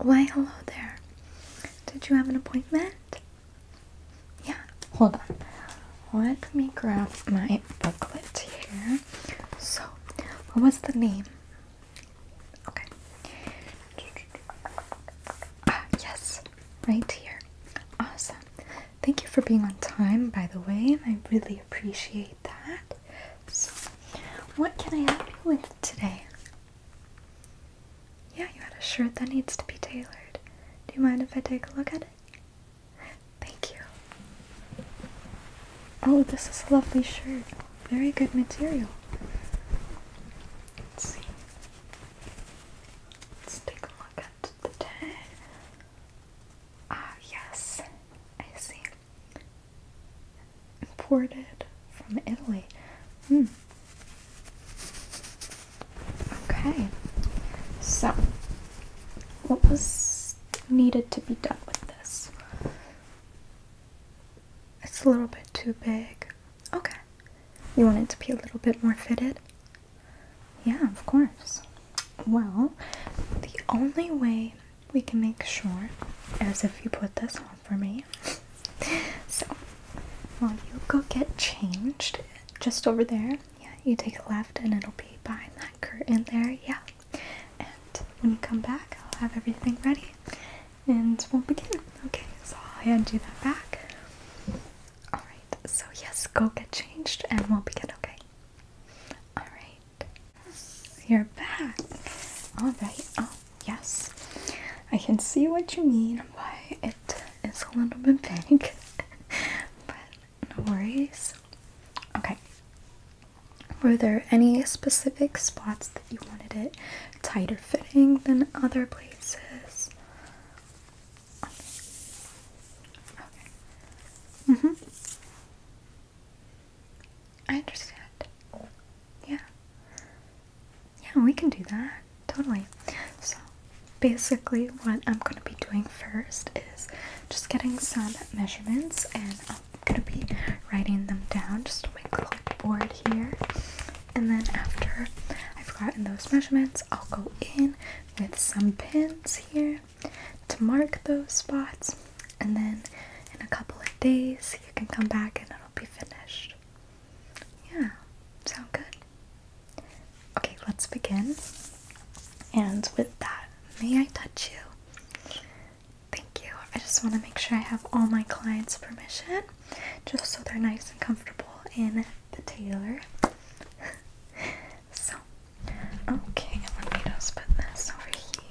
Why, hello there. Did you have an appointment? Yeah, hold on. Let me grab my booklet here. So, what was the name? Okay. Ah, yes, right here. Awesome. Thank you for being on time, by the way. I really appreciate that. So, what can I help you with today? Yeah, you had a shirt that needs to be tailored. Do you mind if I take a look at it? Thank you. Oh, this is a lovely shirt. Very good material. Let's see. Let's take a look at the tag. Ah, yes. I see. Imported from Italy. Hmm. Okay, so what was needed to be done with this? It's a little bit too big. Okay, you want it to be a little bit more fitted? Yeah, of course. Well, the only way we can make sure, as if you put this on for me. so, while you go get changed just over there. Yeah, you take a left and it'll be behind that curtain there. Yeah. And when you come back, I'll have everything ready and we'll begin. Okay, so I'll hand you that back. Alright, so yes, go get changed and we'll begin, okay? Alright. You're back. All right. Oh, yes. I can see what you mean by it is a little bit big, but no worries. Okay. Were there any specific spots that you wanted it tighter fitting than other places? Okay. okay. Mm-hmm. I understand. Yeah. Yeah, we can do that. Totally. So, basically, what I'm going to be doing first is just getting some measurements and I'm going to be writing them down just on a clipboard here. And then, after I've gotten those measurements, I'll go in with some pins here to mark those spots and then in a couple of days you can come back and it'll be finished. Yeah, sound good? Okay, let's begin. And with that, may I touch you? Thank you. I just want to make sure I have all my clients' permission just so they're nice and comfortable in the tailor. so, okay, let me just put this over here.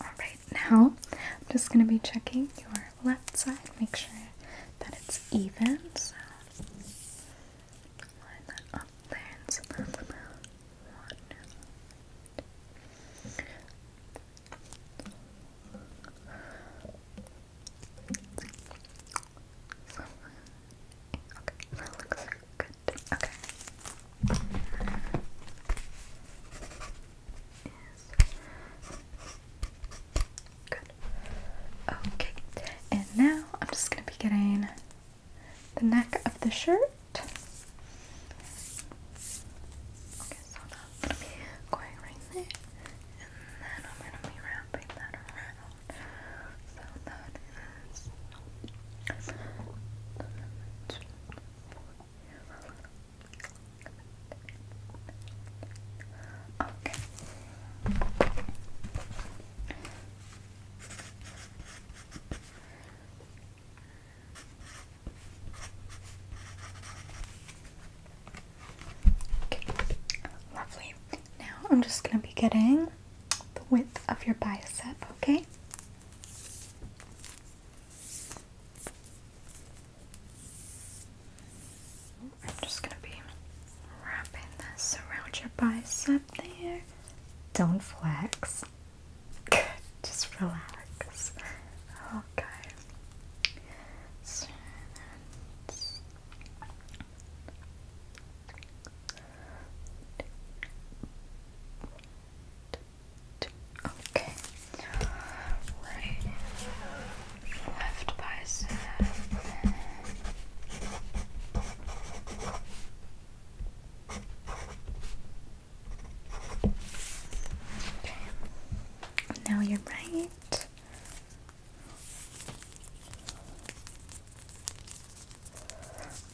Alright, now I'm just going to be checking your left side, make sure that it's even. So, line that up there and okay, that looks good. Okay good. Okay, and now I'm just going to be getting the neck of the shirt. Okay, so now i be going right there, and then I'm going to be wrapping that around. So that is. One, Okay. Lovely. Now I'm just going to be getting the width of your bicep, okay? I'm just gonna be wrapping this around your bicep there. Don't flex. just relax. Okay. Okay. Right. Left bicep. Okay. Now you're right.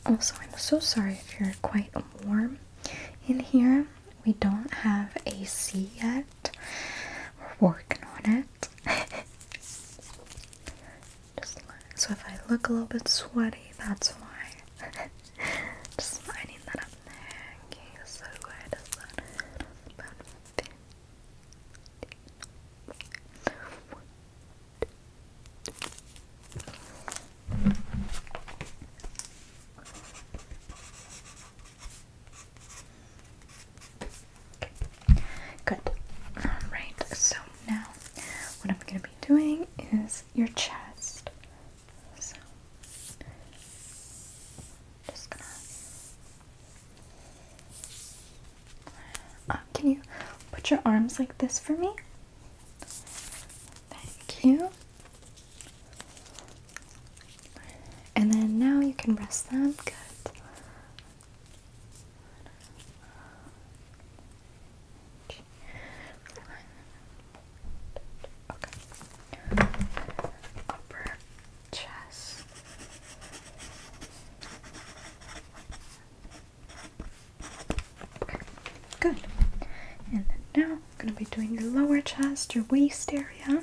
Also, I'm so sorry if you're quite warm in here. We don't have AC yet. We're working on it. so if I look a little bit sweaty, that's why. Just lining that up there. Okay, so where Good. Alright, so now what I'm going to be doing is your chest. just gonna. Uh, can you put your arms like this for me? Thank you. And then now you can rest them. Good. Upper chest. Good. And then now I'm going to be doing your lower chest, your waist area.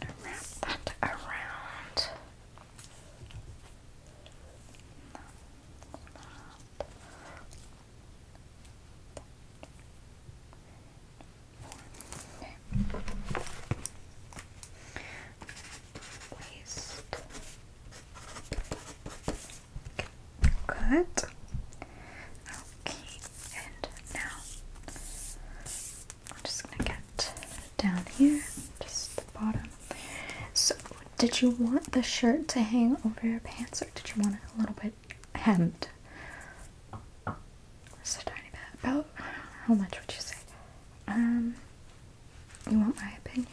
gonna wrap that around waist. Good. Okay, and now I'm just gonna get down here, just the bottom. So, did you want the shirt to hang over your pants, or did you want it a little bit hemmed? a tiny bit. About oh, how much would you say? Um, you want my opinion?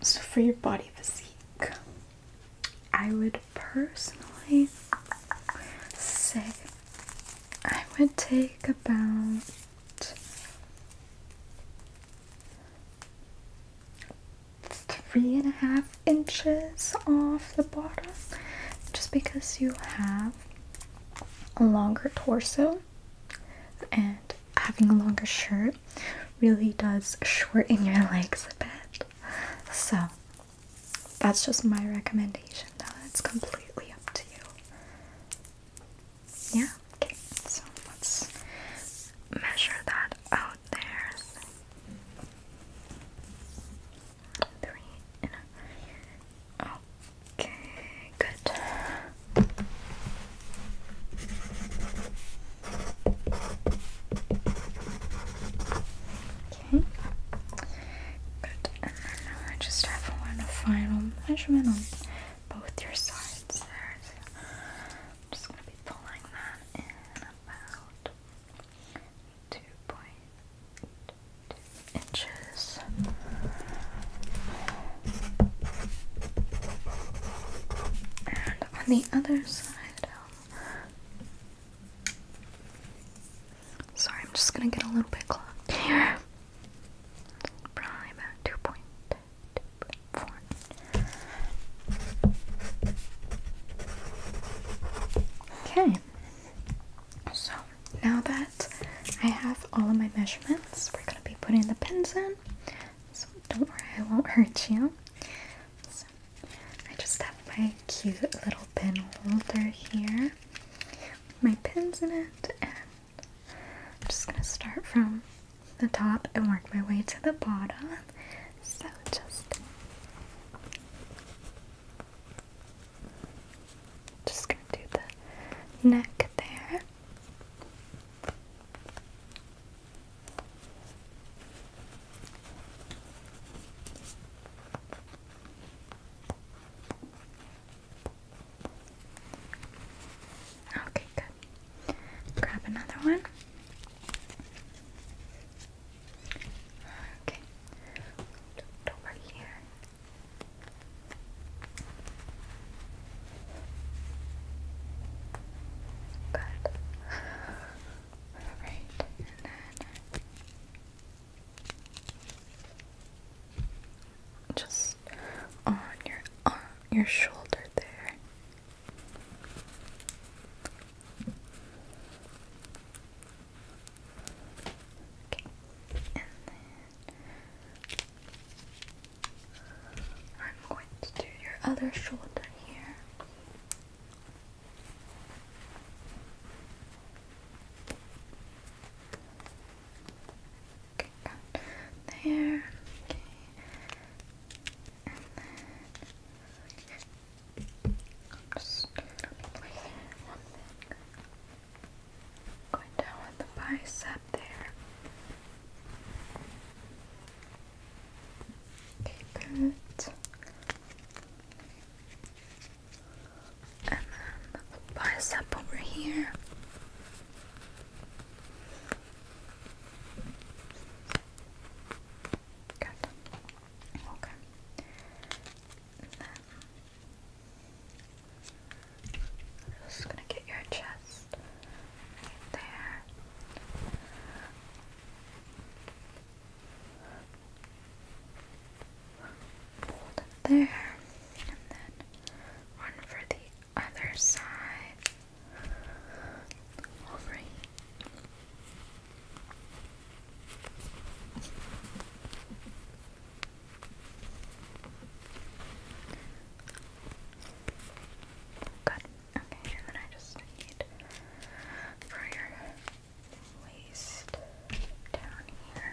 So, for your body physique, I would personally say I would take about three and a half inches off the bottom just because you have a longer torso and having a longer shirt really does shorten your legs a bit. So that's just my recommendation though. It's completely up to you. Yeah, okay. So let's measure that out there three, and a... Okay, good. Okay, good. now I just have one final measurement on both your sides I'm just going to be pulling that in about two point two inches. And on the other side, sorry, I'm just gonna get a little bit clogged here. Probably about two point two point four. Okay, so now that I have all of my measurements, we're gonna be putting the pins in. So don't worry, I won't hurt you. So I just have my cute little pin holder here. My pins in it, and I'm just gonna start from the top and work my way to the bottom. So just just gonna do the neck there. Okay, good. Grab another one. Okay, look over here. Good. Alright, and then just on your arm, your shoulder there. I'm going to do your other shoulder here. Okay, there. Okay, just one finger. Going down with the bicep there. Keep And then bicep over here. Good. Okay. And then I'm just gonna get your chest there. there. And then one for the other side over Good. Okay, and then I just need for your waist down here.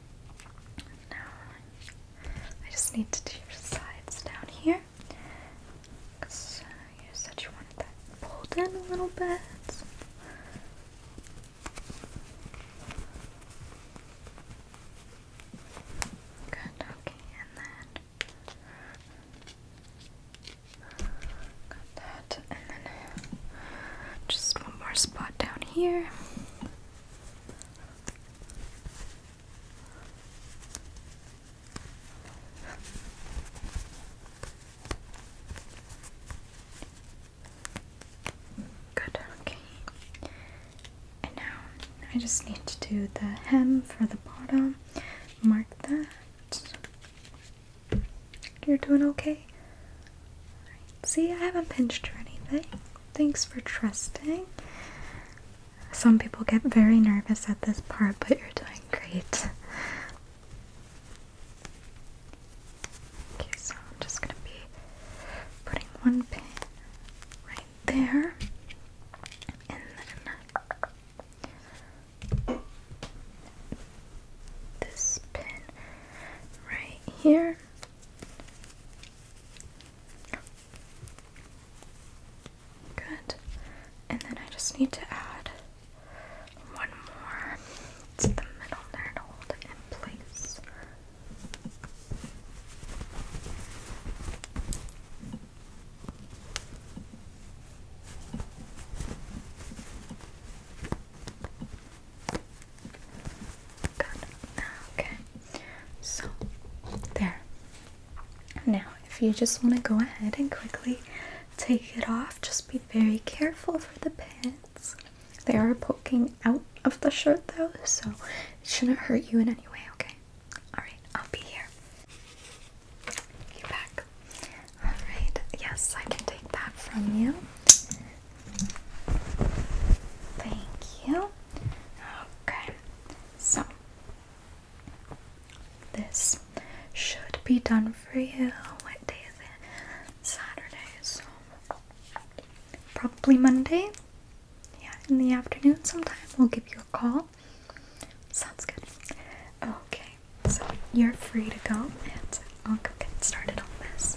Now, I just need to do your sides down here. Because uh, you said you wanted that pulled in a little bit. Good, okay, and then. Got that, and then just one more spot down here. Good, okay. now I just need to do the hem for the bottom. Mark that. You're doing okay? see, I haven't pinched or anything. Thanks for trusting. Some people get very nervous at this part, but you're doing great. Okay, so I'm just gonna be putting one pin right there, and then this pin right here. Good. And then I just need to add one more to the middle there to hold it in place. Okay. So there. Now, if you just want to go ahead and quickly take it off, just be very careful for the pins. They are poking out of the shirt though, so it shouldn't hurt you in any way, okay? Alright, I'll be here. You back. Alright, yes, I can take that from you. Thank you. Okay, so this should be done for you. What day is it? Saturday, so probably Monday. Yeah, in the afternoon sometime we'll give you a call. Sounds good. Okay, so you're free to go and I'll go get started on this.